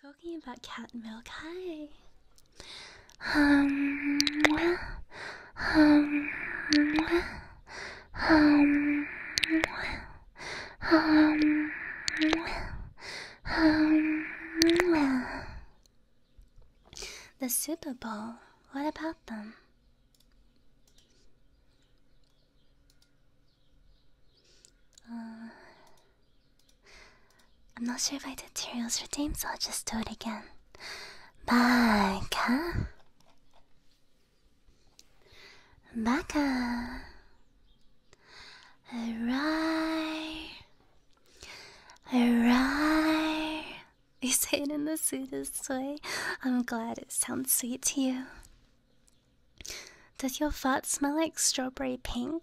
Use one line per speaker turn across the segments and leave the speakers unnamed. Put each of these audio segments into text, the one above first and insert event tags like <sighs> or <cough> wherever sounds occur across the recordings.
Talking about cat milk, hi. Um,
um, um, um, um,
the Super Bowl. What about them? Uh, I'm not sure if I did Tyrael's for Dame, so I'll just do it again.
Baka.
Baka. Arai. Arai. <laughs> You say it in the sweetest way. I'm glad it sounds sweet to you. Does your fart smell like strawberry pink?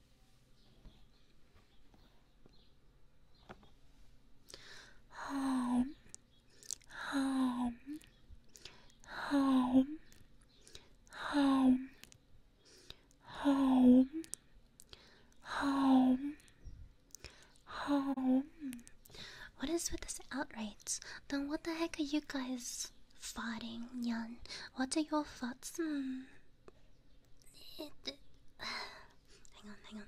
Home, home, home, home, home, home,
home. What is with this outrage? Then what the heck are you guys? Fighting Yan. What are your thoughts? Hmm. <sighs> Hang on, hang on.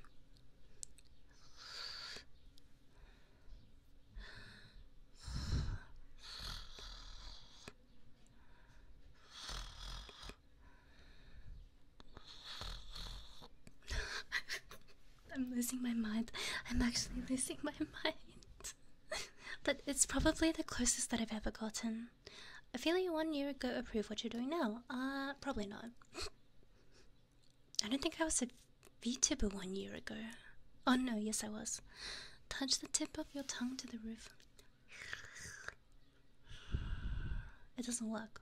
<sighs> I'm losing my mind. I'm actually losing my <laughs> mind. <laughs> but it's probably the closest that I've ever gotten. I feel you one year ago, approve what you're doing now. Uh, probably not. I don't think I was a v-tuber one year ago. Oh no, yes I was. Touch the tip of your tongue to the roof. It doesn't work.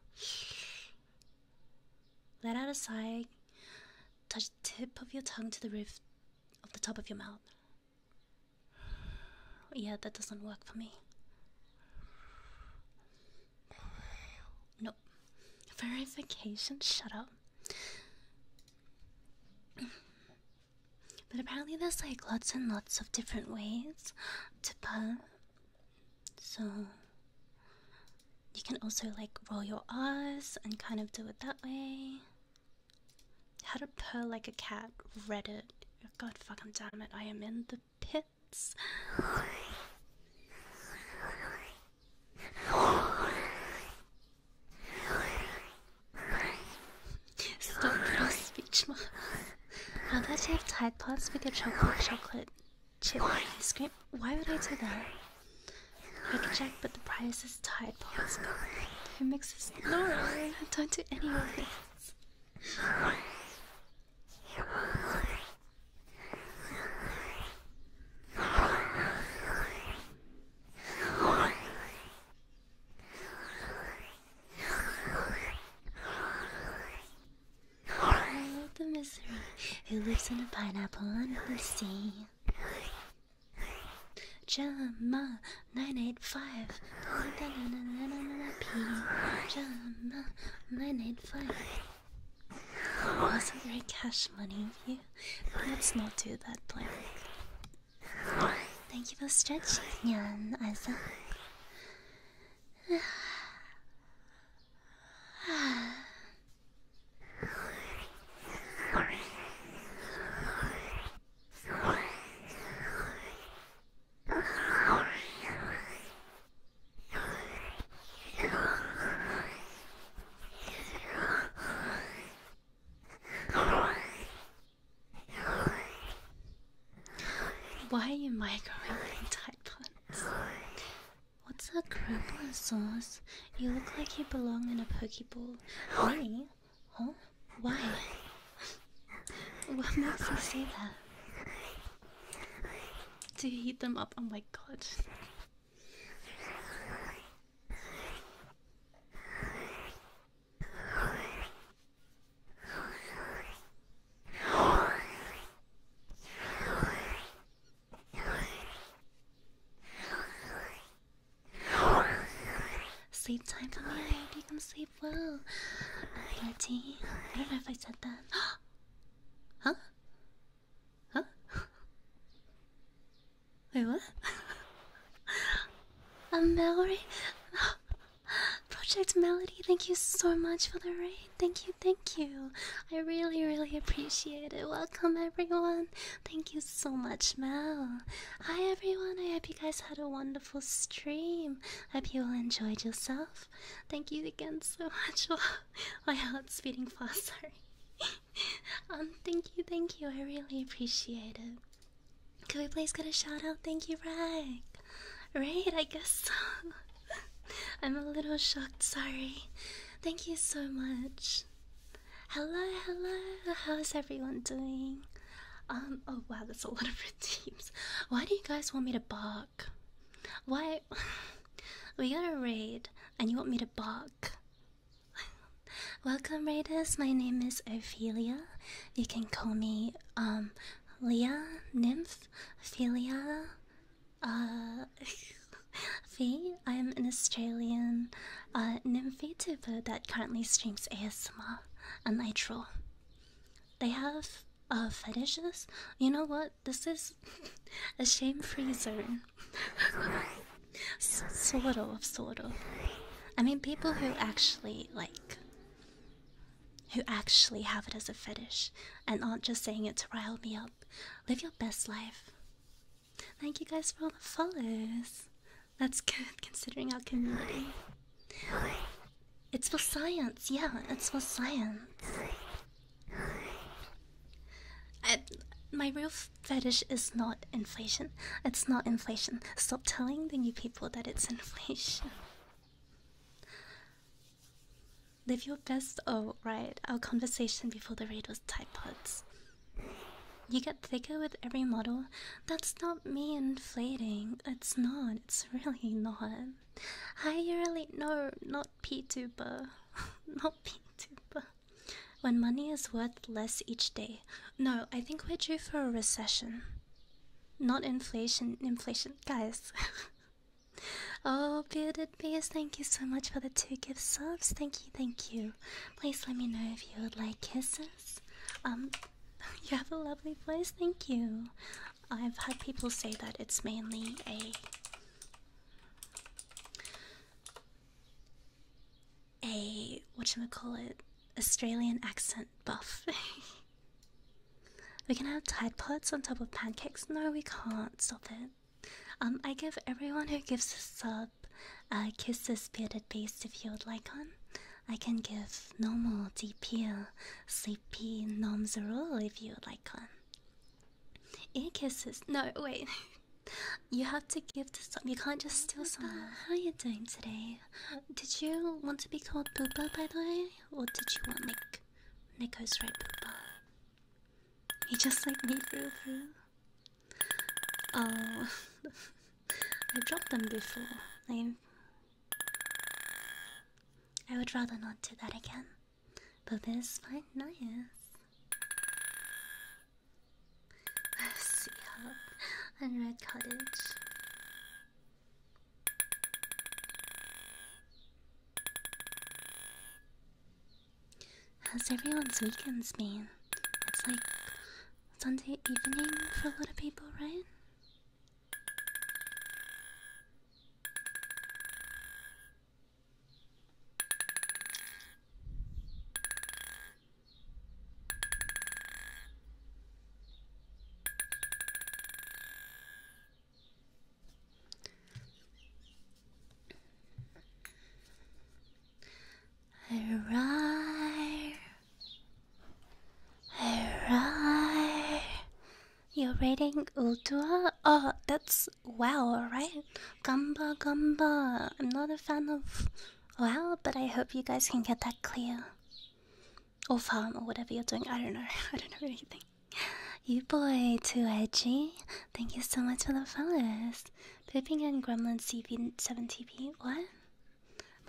Let out a sigh. Touch the tip of your tongue to the roof of the top of your mouth. Yeah, that doesn't work for me. No. Verification? Shut up. But apparently there's like lots and lots of different ways to pull. So you can also like roll your R's and kind of do it that way. How to purr like a cat. Reddit. God fuck fucking damn it! I am in the pits. Stop speech marks. I'll let you have Tide Pods with your chocolate chocolate chip ice cream. Why would I do that? Quick check, but the price is Tide Pods. Their mix is not I don't do any of this. I love the misery who lives in a pineapple on the sea. Jama 985 Jama 985 Wasn't there cash money here? Let's not do that plan. Thank you for stretching, Yan Isaac. Why are you microwaving type buns? What's that crumpler sauce? You look like you belong in a pokeball. Me? Huh? Why? What makes you say that? To heat them up? Oh my god. Sleep time coming right, you can sleep well. Bloody. I don't know if I said that. <gasps> huh? Huh? Wait, what? <laughs> I'm Mallory. <gasps> Project Melody, thank you so much for the raid. Thank you, thank you. I really, really appreciate it. Welcome, everyone. Thank you so much, Mel. Hi, everyone. I hope you guys had a wonderful stream. Hope you all enjoyed yourself. Thank you again so <laughs> much. My heart's beating faster. <laughs> um. Thank you. Thank you. I really appreciate it. Can we please get a shout out? Thank you, Rag. Right, I guess so. <laughs> I'm a little shocked, sorry. Thank you so much. Hello, hello. How's everyone doing? Um. Oh wow, that's a lot of redeems. Why do you guys want me to bark? Why? <laughs> we got a raid, and you want me to bark? <laughs> Welcome, raiders. My name is Ophelia. You can call me um, Leah, Nymph, Ophelia, uh, <laughs> Faye, I'm an Australian uh, that currently streams ASMR and I draw. They have fetishes. You know what? This is <laughs> a shame-free zone. S sort of, sort I mean, people who actually like, who actually have it as a fetish and aren't just saying it to rile me up. Live your best life. Thank you guys for all the follows. That's good considering our community. It's for science, yeah, it's for science. my real fetish is not inflation. It's not inflation. Stop telling the new people that it's <laughs> inflation. Live your best. Oh, right. Our conversation before the raid was Tide Pods. You get thicker with every model. That's not me inflating. It's not. It's really not. I really no, not PTuber. <laughs> not PTuber. When money is worth less each day. No, I think we're due for a recession. Not inflation. Inflation, guys. <laughs> oh, bearded beast, thank you so much for the two gift subs. Thank you, thank you. Please let me know if you would like kisses. Um, <laughs> you have a lovely voice, thank you. I've had people say that it's mainly a a what we call it, Australian accent buff. <laughs> we can have Tide Pods on top of pancakes. No, we can't. Stop it. Um, I give everyone who gives a sub uh, Kisses Bearded Beast if you would like one. I can give Normal, peel, Sleepy, Nom Zerul if you would like one. Ear kisses. No, wait. <laughs> you have to give to some. You can't just steal someone. How are you doing today? Did you want to be called Booba, by the way? Or did you want Nick? Nick goes right Booba. He just like me through Oh, <laughs> I dropped them before. I, would rather not do that again. But this is fine, nice. Sea Hub and Red Cottage. How's everyone's weekends been? It's like Sunday evening for a lot of people, right? Alright, alright, You're reading Ultua? Oh, that's wow, right? Gamba, gamba. I'm not a fan of wow, but I hope you guys can get that clear. Or farm, or whatever you're doing. I don't know. <laughs> I don't know anything. You boy, too edgy. Thank you so much for the follows. Pipping and Gremlin CP 7TP. What?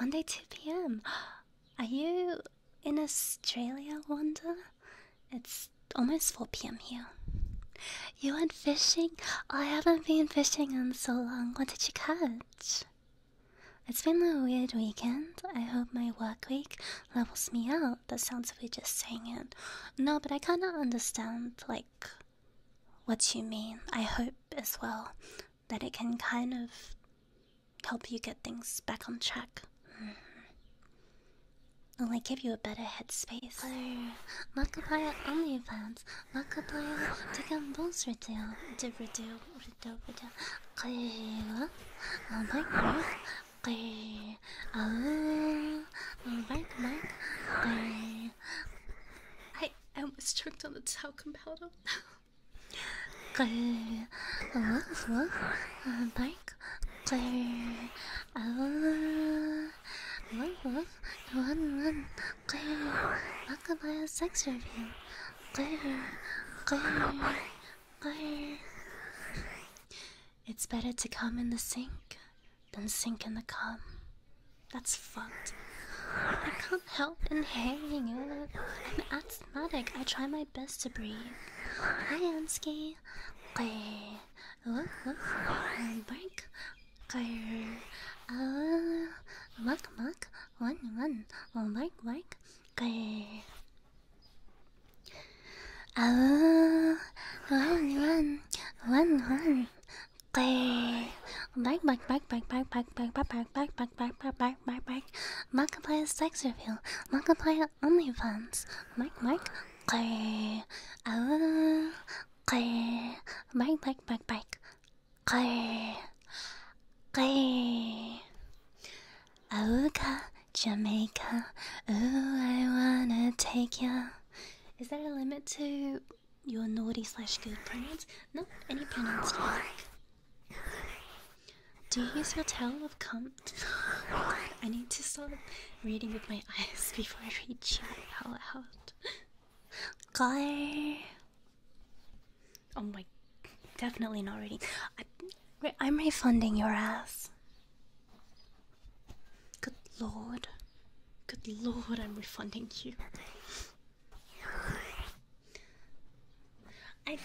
Monday 2 p.m. <gasps> Are you in Australia, Wanda? It's almost 4 p.m. here. You went fishing? I haven't been fishing in so long. What did you catch? It's been a weird weekend. I hope my work week levels me out. That sounds weird just saying it. No, but I kinda understand, like, what you mean. I hope as well that it can kind of help you get things back on track. Mm. Will I give you a better headspace? Nakabaya OnlyFans, Nakabaya Taken Bulls Redo, Redo,
Redo, Redo, Kayla, Oh my god, Kay, Oh, alright, Mike. I,
I almost choked on the talcum powder.
Good. Woof, woof. Bike. Good. Oh. Woof, woof. Run, run. Good. Rockabye sex review. Good. Good. Good.
It's better to come in the sink than sink in the cum. That's fucked. I can't help inhaling it. I'm asthmatic. I try my best to breathe. Hi, Ansky. Break. Uh, muck, muck. One, one. Break, break. Back, back, back, back, back, back, back, back, back, back, back, back, back, back, back, back. Markiplier sex reveal. Markiplier OnlyFans. Mike, Mike. Clay. Ah. Clay. Back, back, back, back. Clay. Clay. Aruka, Jamaica. Ooh, I wanna take ya. Is there a limit to your naughty slash good pronouns? No, any pronouns Do you use your towel of cum? I need to stop reading with my eyes before I read you out loud. Color. Oh my, definitely not reading. I'm refunding your ass. Good lord. Good lord, I'm refunding you. I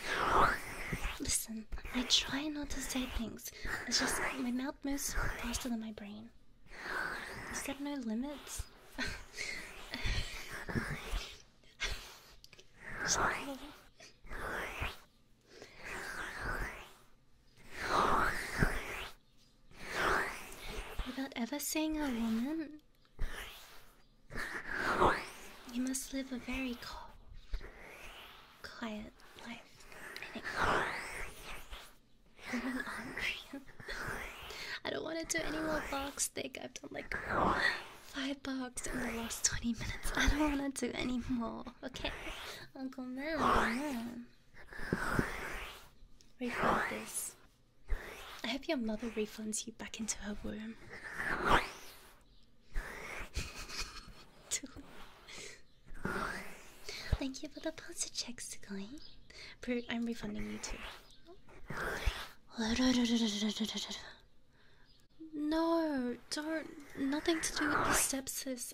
listen, I try not to say things. It's just my mouth moves faster than my brain. It's got no limits. <laughs> Sorry. Without ever seeing a woman, you must live a very cold, quiet life. I think. I'm hungry. I don't want to do any more box thick. I've done like five box in the last 20 minutes. I don't want to do any more. Okay, Uncle Man. Refund this. I hope your mother refunds you back into her womb. Thank you for the pulse check, Sugoi. I'm refunding you too. No, don't. Nothing to do with the sepsis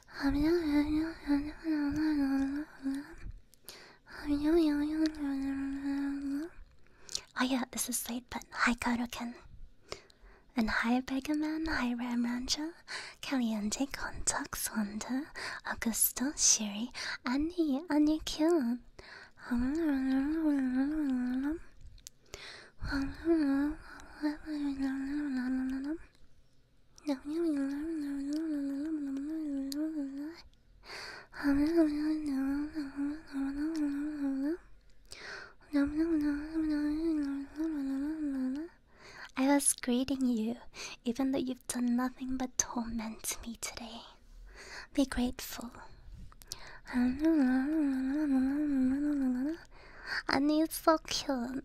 Oh yeah, this is late, but hi Karuken. And hi Begaman, hi Ramranja, Caliente, Contax, Wanda, Augusto, Shiri, Annie, Annie Kyun. <laughs> I was greeting you, even though you've done nothing but torment me today. Be grateful. <laughs> and it's so cute.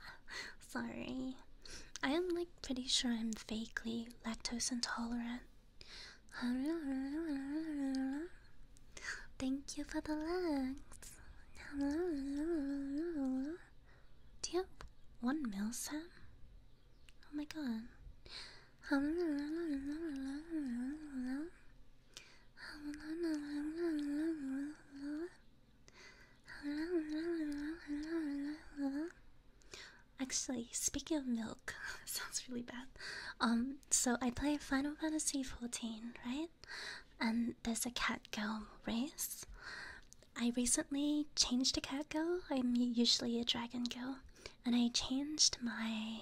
<laughs> <laughs> Sorry. I am like pretty sure I'm vaguely lactose intolerant. Thank you for the legs. Yep, one mil, Sam? Oh my god. Actually, speaking of milk,
<laughs> sounds really bad.
Um, so I play Final Fantasy fourteen, right? And there's a cat girl race. I recently changed to cat girl. I'm usually a dragon girl, and I changed my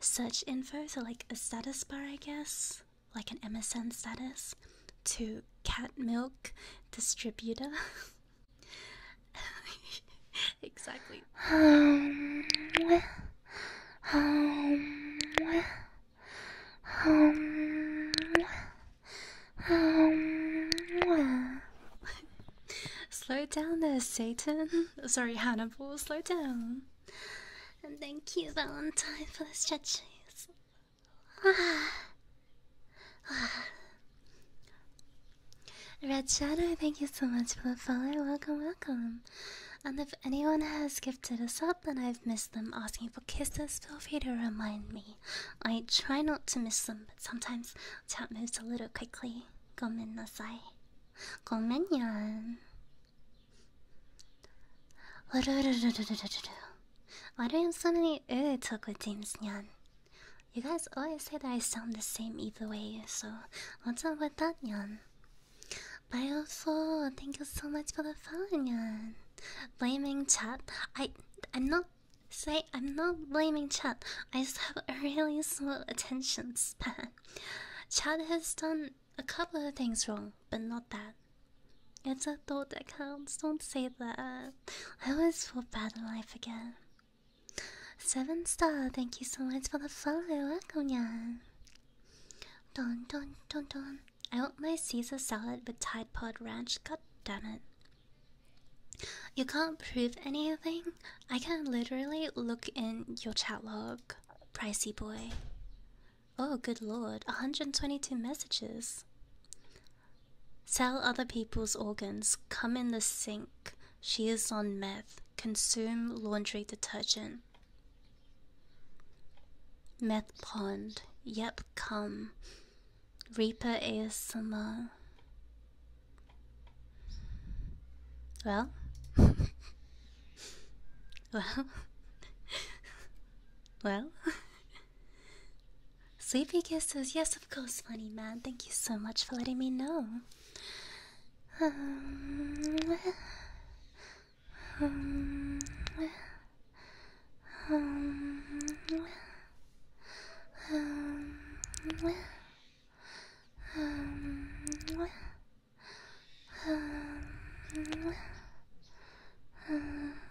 search info to like a status bar, I guess, like an MSN status, to cat milk distributor. <laughs> exactly. Um, um, um, um. Slow down there, Satan. <laughs> Sorry, Hannibal, slow down. And thank you, Valentine, for the stretches. <sighs> Red Shadow, thank you so much for the follow. Welcome, welcome. And if anyone has gifted us up and I've missed them asking for kisses, feel free to remind me. I try not to miss them, but sometimes chat moves a little quickly. Gomen nasai. Gomen yan. Why do you have me Urutoko James Nyan. You guys always say that I sound the same either way, so what's up with that, Nyan? Bioful, thank you so much for the fun, Nyan. Blaming Chad, I I'm not say I'm not blaming Chad. I just have a really small attention span. Chad has done a couple of things wrong, but not that. It's a thought that counts, don't say that. I always feel bad in life again. Seven star, thank you so much for the follow, welcome ya. Don don don don. I want my Caesar salad with Tide Pod Ranch, god damn it. You can't prove anything. I can literally look in your chat log, pricey boy. Oh, good lord, 122 messages. Sell other people's organs, come in the sink. She is on meth. Consume laundry detergent. Meth pond. Yep, come. Reaper ASMR. Well? <laughs> well? <laughs> well? <laughs> Sleepy kisses, yes, of course, funny man. Thank you so much for letting me know.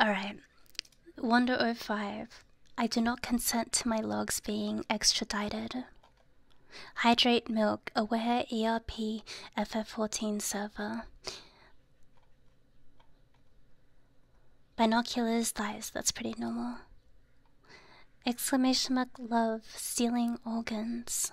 Alright. Wonder 05. I do not consent to my logs being extradited. Hydrate Milk, Aware ERP FF14 server. Binoculars, thighs, that's pretty normal. Exclamation mark love, stealing organs.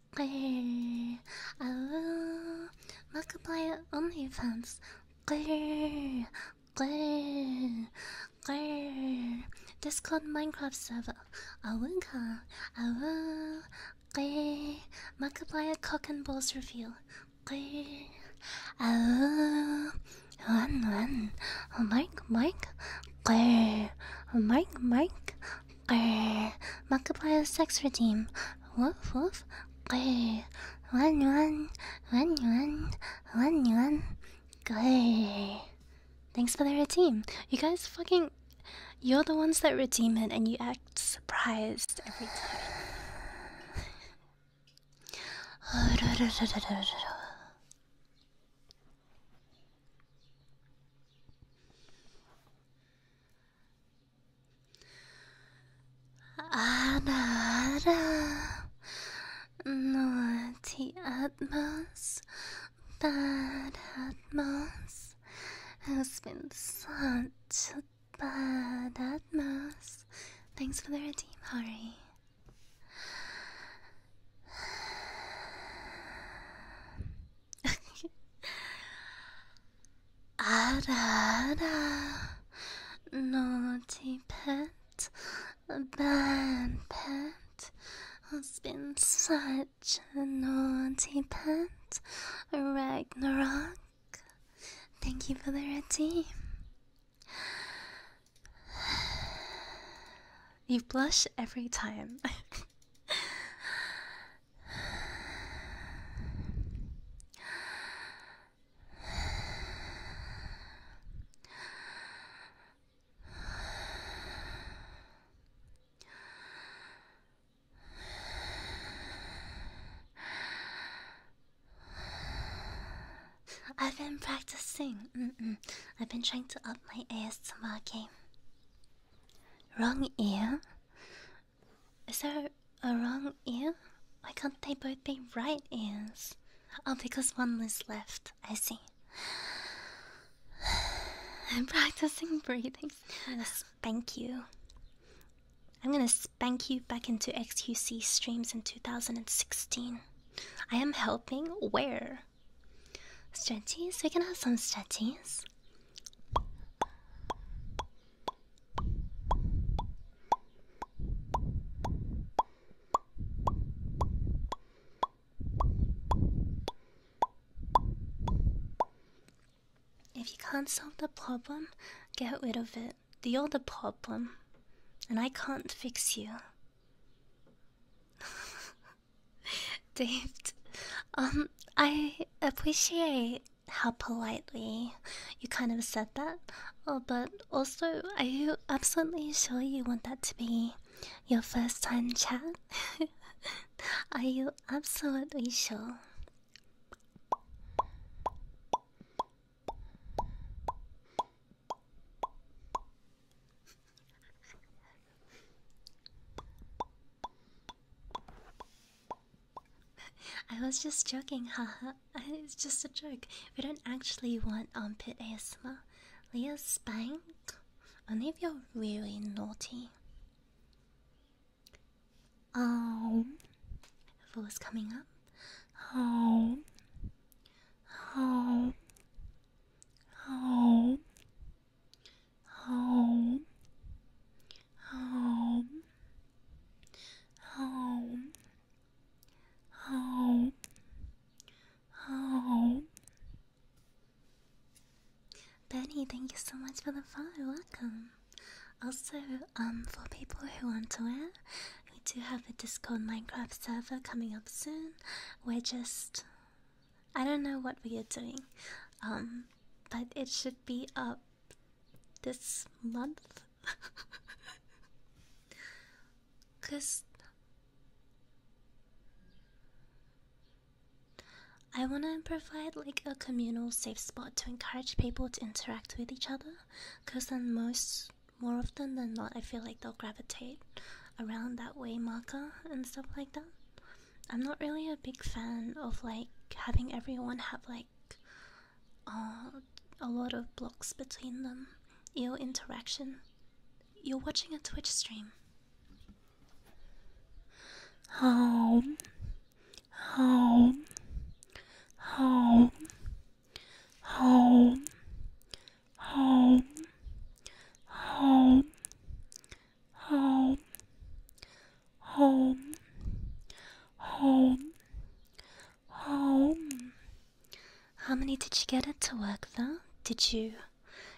I will multiply
This called Minecraft server. I I will will Awa. Multiply cock and balls reveal. Awa. One, one. Mike, Mike. Mike, Mike. Grr, Markiplier's sex redeem. Woof woof. Grr, run run, Thanks for the redeem. You guys fucking, you're the ones that redeem it, and you act surprised every time.
Ada, ada,
naughty Atmos, bad Atmos, has been such a bad Atmos. Thanks for the redeem, Harry. <laughs> naughty pet, bad pet, has been such a naughty pet, Ragnarok. Thank you for the red <sighs> You blush every time. <laughs> I've been practicing. Mm -mm. I've been trying to up my ASMR game. Wrong ear. Is there a wrong ear? Why can't they both be right ears? Oh, because one is left. I see. <sighs> I'm practicing breathing. I'm gonna spank you. I'm gonna spank you back into XUC streams in 2016. I am helping where? Stretchies? We can have some stretchies. If you can't solve the problem, get rid of it. You're the problem, and I can't fix you. <laughs> <laughs> Dave, um, I appreciate how politely you kind of said that, oh, but also, are you absolutely sure you want that to be your first time chat? <laughs> are you absolutely sure? I was just joking, haha. <laughs> it's just a joke. We don't actually want armpit um, ASMR. Leah spank only if you're really naughty. Oh, um.
voice coming up. Oh, oh, oh home, home, home, home, home.
Betty, thank you so much for the follow. Welcome. Also, um, for people who want to wear, we do have a Discord Minecraft server coming up soon. We're just I don't know what we are doing, um, but it should be up this month. <laughs> Cause I want to provide like a communal safe spot to encourage people to interact with each other. Cause then most, more often than not, I feel like they'll gravitate around that way marker and stuff like that. I'm not really a big fan of like having everyone have like uh, a lot of blocks between them. Your interaction. You're watching a Twitch stream.
Home. Home. Home. Home. Home home, home,
home, home. How many did you get it to work though? Did you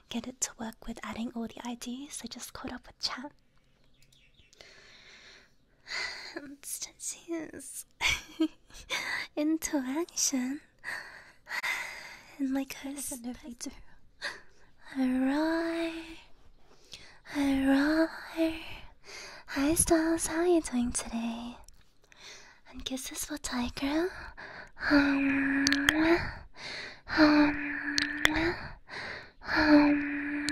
get it to work with adding all the IDs? I just caught up with chat. Such <sighs> <laughs> interaction. <sighs> and like a specter. I roar, I roar. Hi, Styles. How are you doing today? And kisses
for Tiger. Um, um, um, um,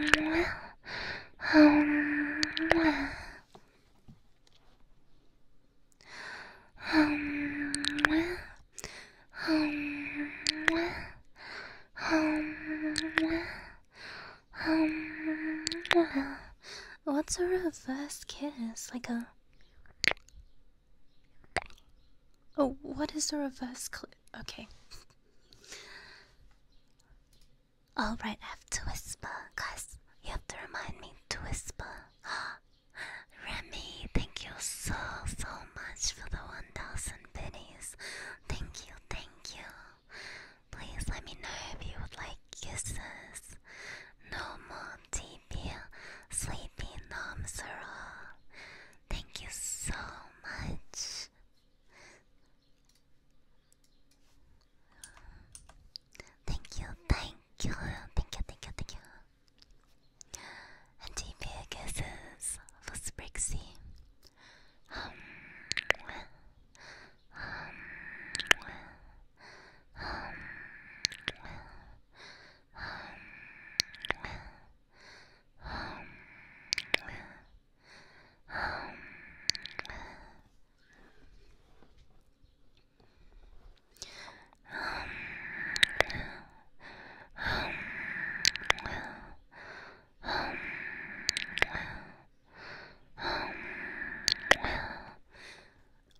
um, um, um, um, what's a
reverse kiss? Like a. Oh, what is a reverse clip? Okay. Alright, I have to whisper, guys. You have to remind me to whisper. <gasps> Remy, thank you so, so much for the 1000 pennies. Thank you, thank you. Please let me know if you would like kisses. No more TP, sleepy noms
are all. Thank you so much. Thank you, thank you, thank you, thank you, thank you. And DPA kisses for Sprixie.
Oh,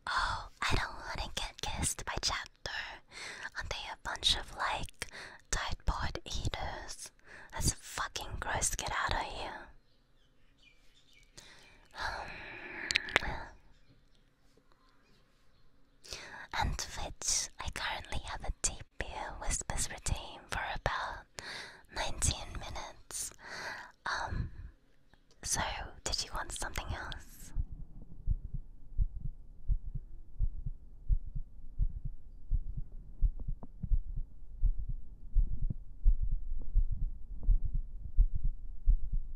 I don't want to get kissed by chapter. Aren't they a bunch of like pod eaters? That's fucking gross. Get out of here and which I currently have a deep ear whispers routine for about 19 minutes. Um, so did you
want something else?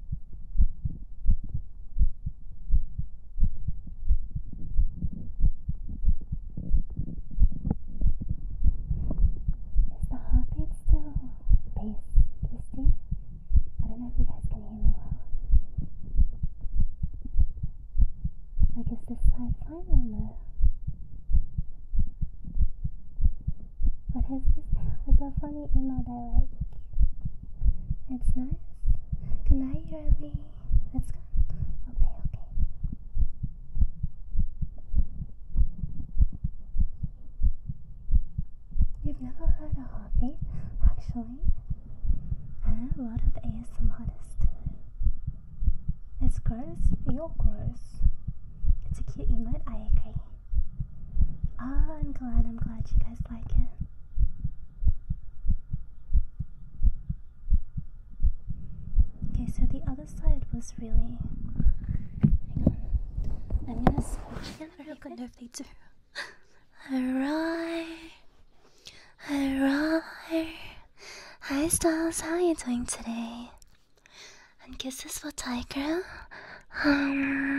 Is the heartbeat still bass twisty? I don't know if you guys can hear me well. Like, is this side fine or no? What is this? It's a funny email that I like. It's nice. Good night, Yurly. Let's go. Okay, okay. You've never heard of hobby, actually. And a lot of ASM artists do. It's gross, you're gross. It's a cute emote, I agree. Ah, I'm glad, I'm glad you guys like it. Okay, so the other side was really. I'm gonna switch it. I don't know if they do. Alright. Alright. Hi, Styles. How are you doing today?
And kisses for Tiger. Um,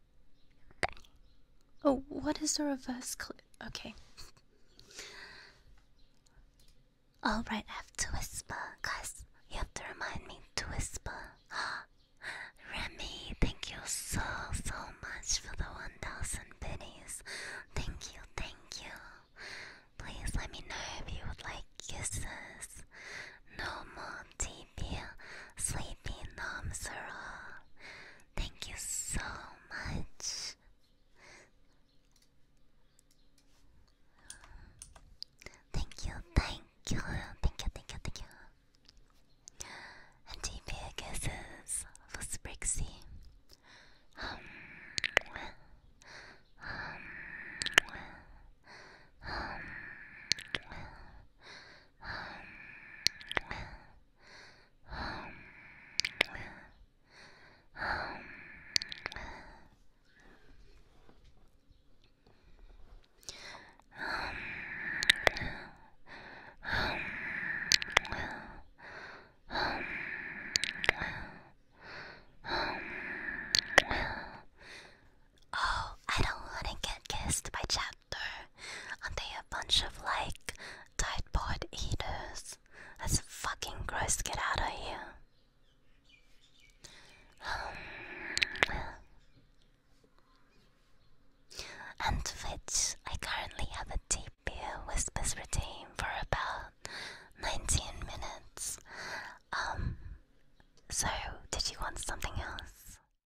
Oh, what is the reverse clip? Okay. Alright, I have to whisper, guys. You have to remind me to whisper. Ah, <gasps> Remy, thank you so, so much for the 1000 pennies. Thank you, thank you. Please let me know if you would like kisses. No more tea sleepy, sleepy um, Namsara. Thank you so much. Thank you, thank you, thank you, thank you, thank you. And GPA guesses for Sprixie. um, um, um, um Oh, I don't want to get kissed by Chapman chapter, and they a bunch of like Tide Pod eaters. That's fucking gross. Get out of here. Um, and which I currently have a deep beer whispers routine
for about 19 minutes. Um, so did you want something else?